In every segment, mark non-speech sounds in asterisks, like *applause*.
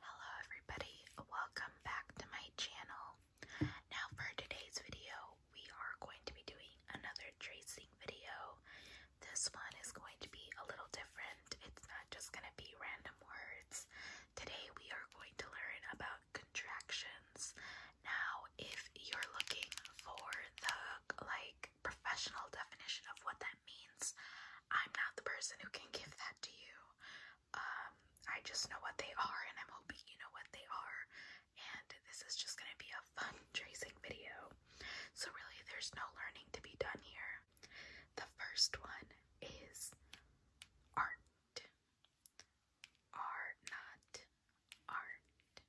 Hello everybody, welcome back to my channel. Now for today's video, we are going to be doing another tracing video. This one is going to be a little different. It's not just going to be random words. Today we are going to learn about contractions. Now, if you're looking for the like professional definition of what that means, I'm not the person who can give that to you. Um, I just know what they are, and I'm hoping you know what they are. And this is just gonna be a fun *laughs* tracing video. So, really, there's no learning to be done here. The first one is art. Are not art.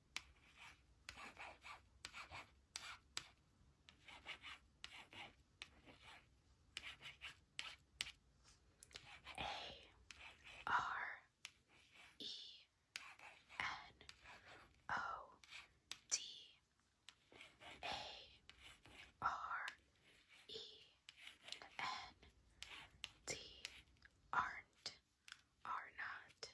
A R E N O D A R E N D aren't are not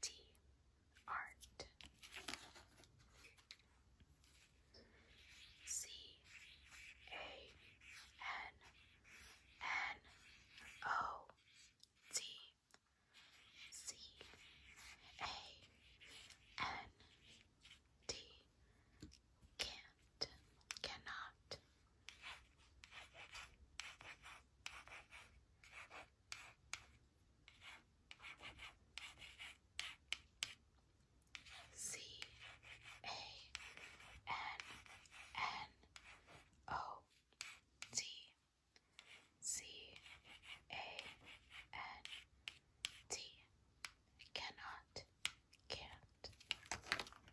T art C A N N O T C A N T can't cannot C A N N O T C A N T cannot can't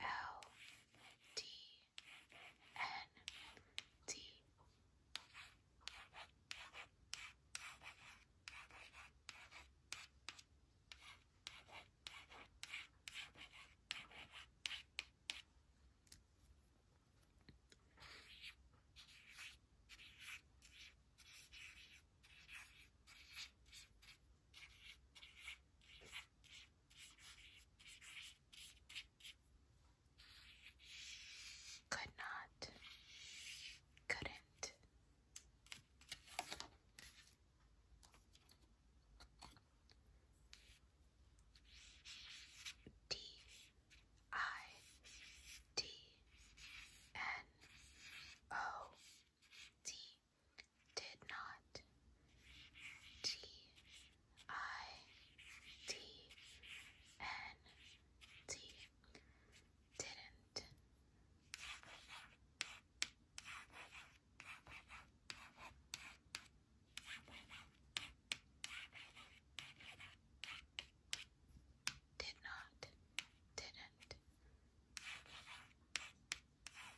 L D N T. Could not, couldn't. D I D N O D did not. T I T N T didn't. Did not, didn't, do not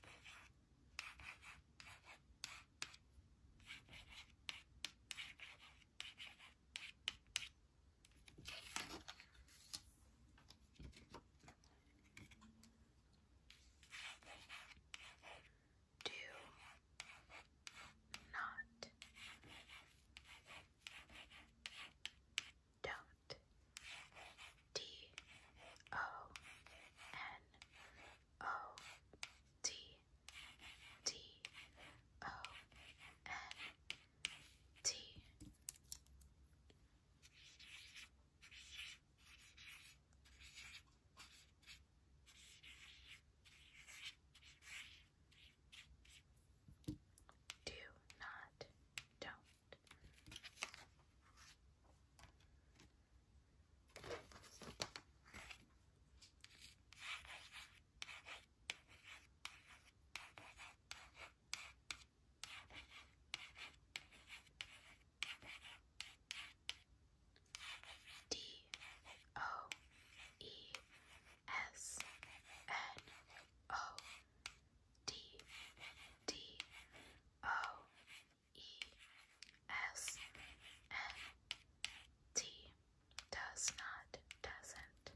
don't. D O N O T D O N T. Do not, don't, D O E S N O D D O E S N T does not, doesn't.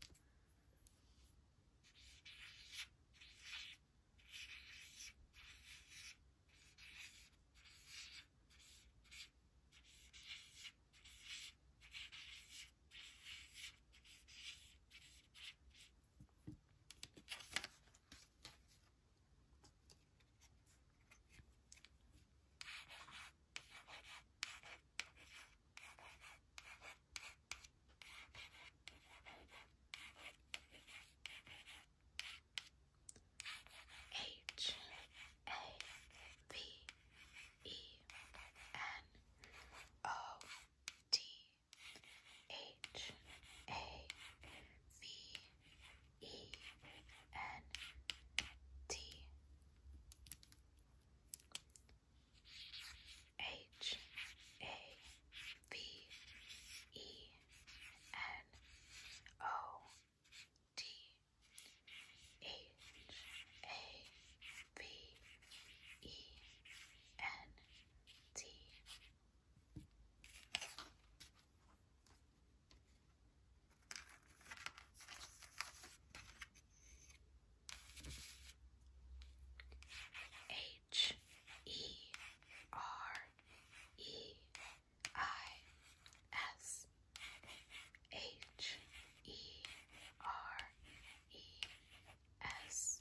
H A V E N O T H A V E N T H A V E N O T H A V E N T H E R E I S H E R E S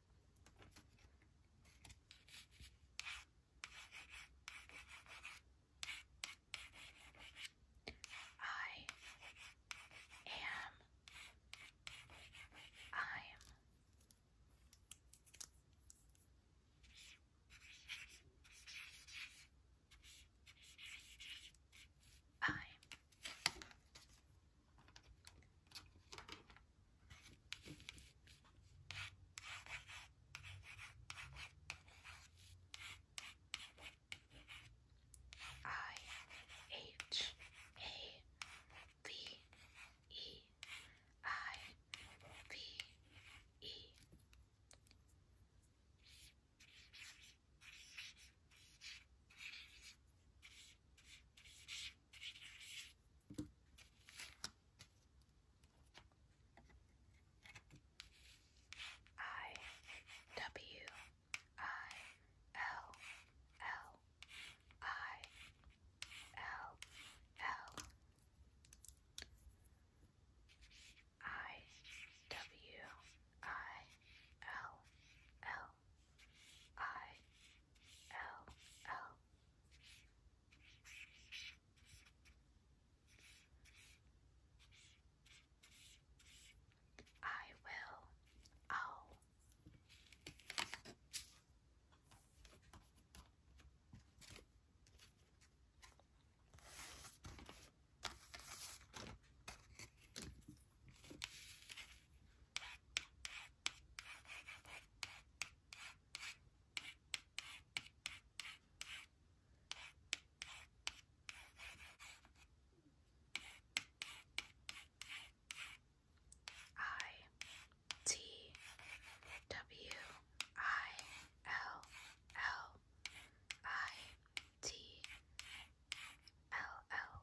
I am I'm I'm I H A V E I V E I W I L L I L L I W I L L I L L I will owl I T W I L L I T L L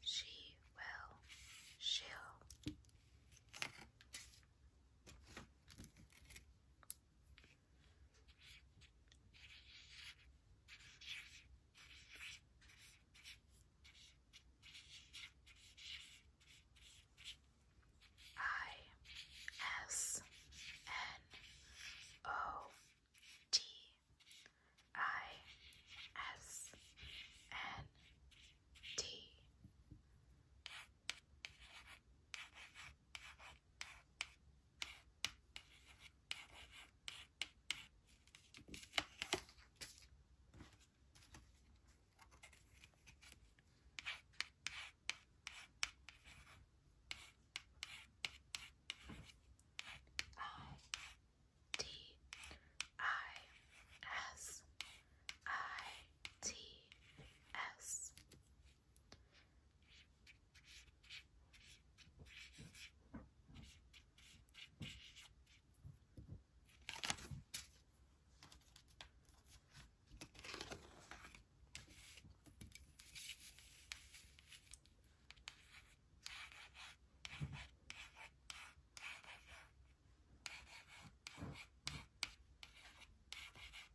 she will shill. I S N O T I S N T I D I S I T S.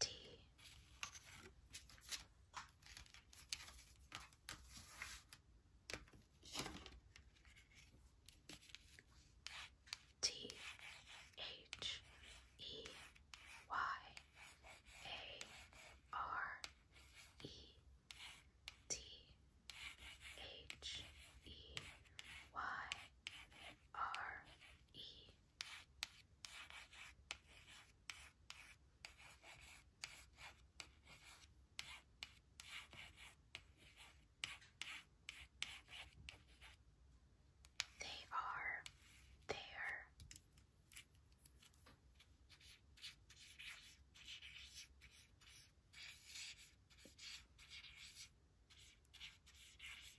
tea. T H E Y A R E T H E Y R E they are there.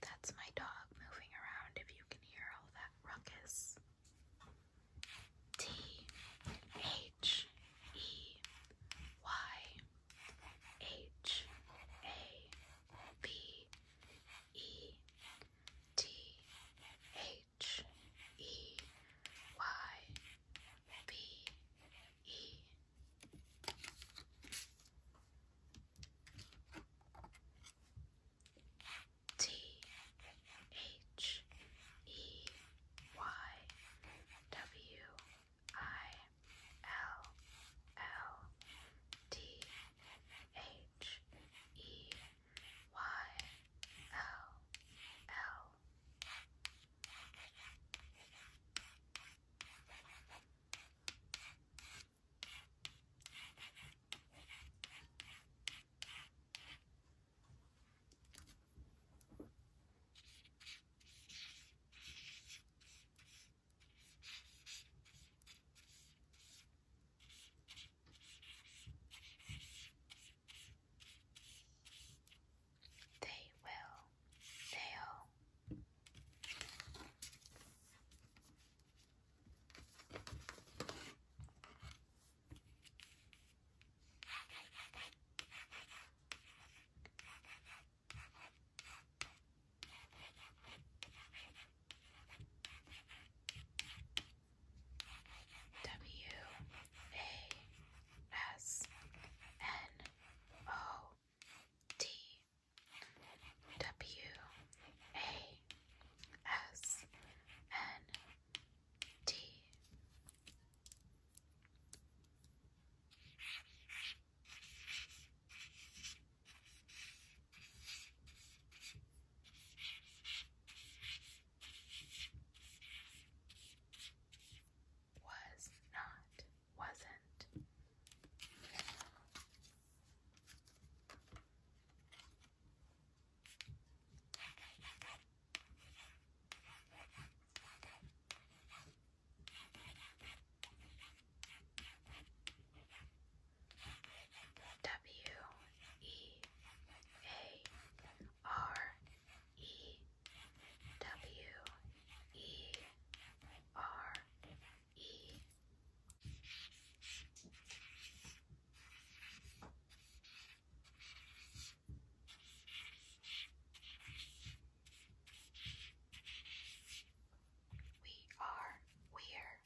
That's my dog moving around if you can hear all that ruckus. T H E Y H A B E T H E Y B E T H E Y W I L L D H E Y L L they will, they W A S N O T W A S N T. Was not, wasn't. W E A R E W E R E. We are weird.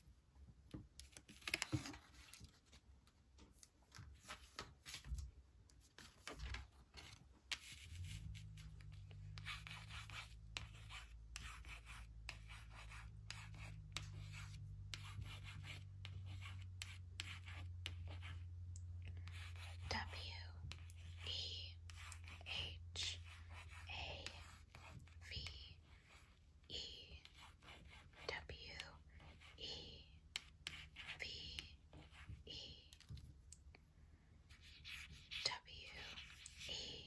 W E H A V E W E V E W E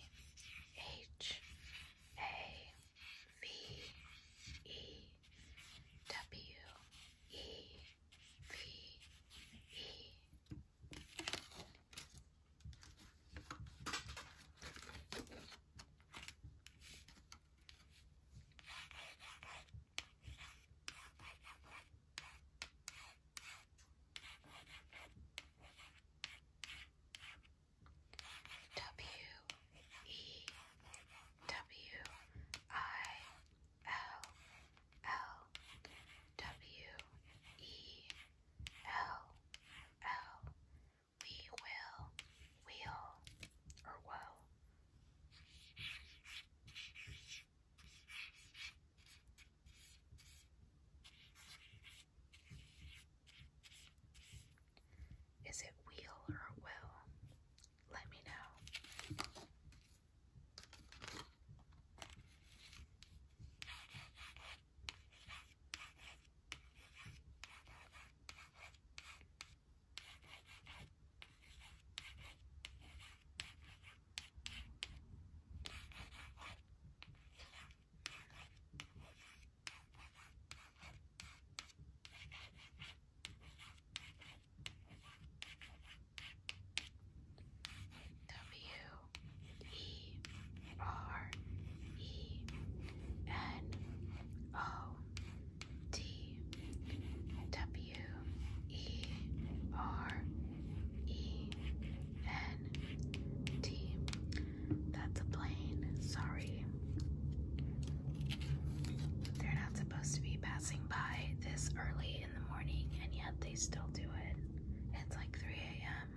H A V E W E V E. W E W I L L W E L L We will wheel or woe. Is it wheel or will? Let me know. W E R E N O T W E R E N T that's a plane. Sorry. They're not supposed to be passing by this early in the morning, and yet they still do it. It's like 3 a.m.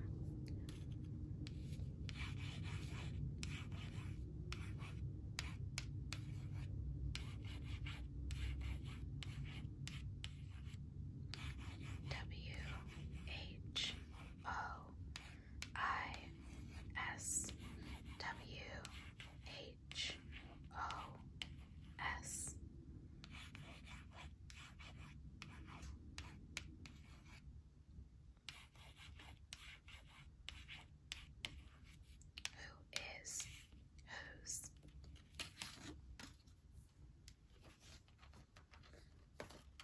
W H O I S W H O S. Who is whose?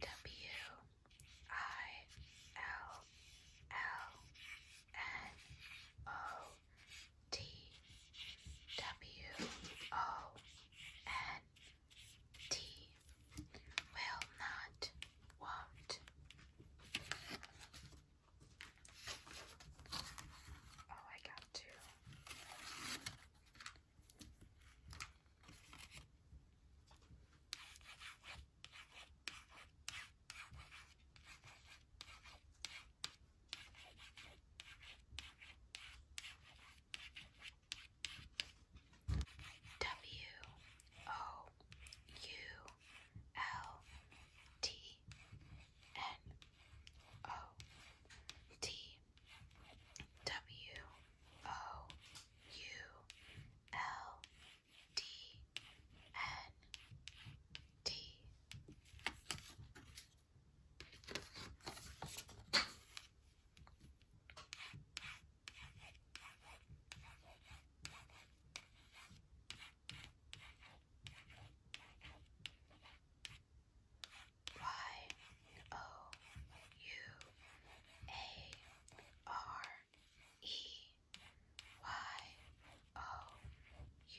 W I L L N O T W O N T will not want. Oh, I got two. W O U L T N O T W O U L D N T. Y O U A R E Y O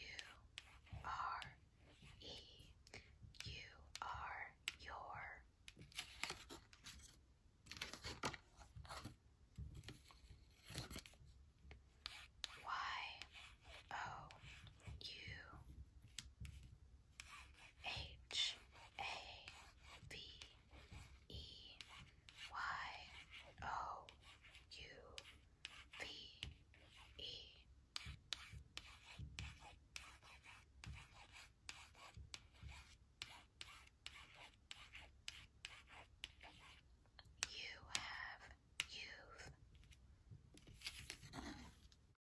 U R E your Y O U H A B E Y O U V E. You have youth.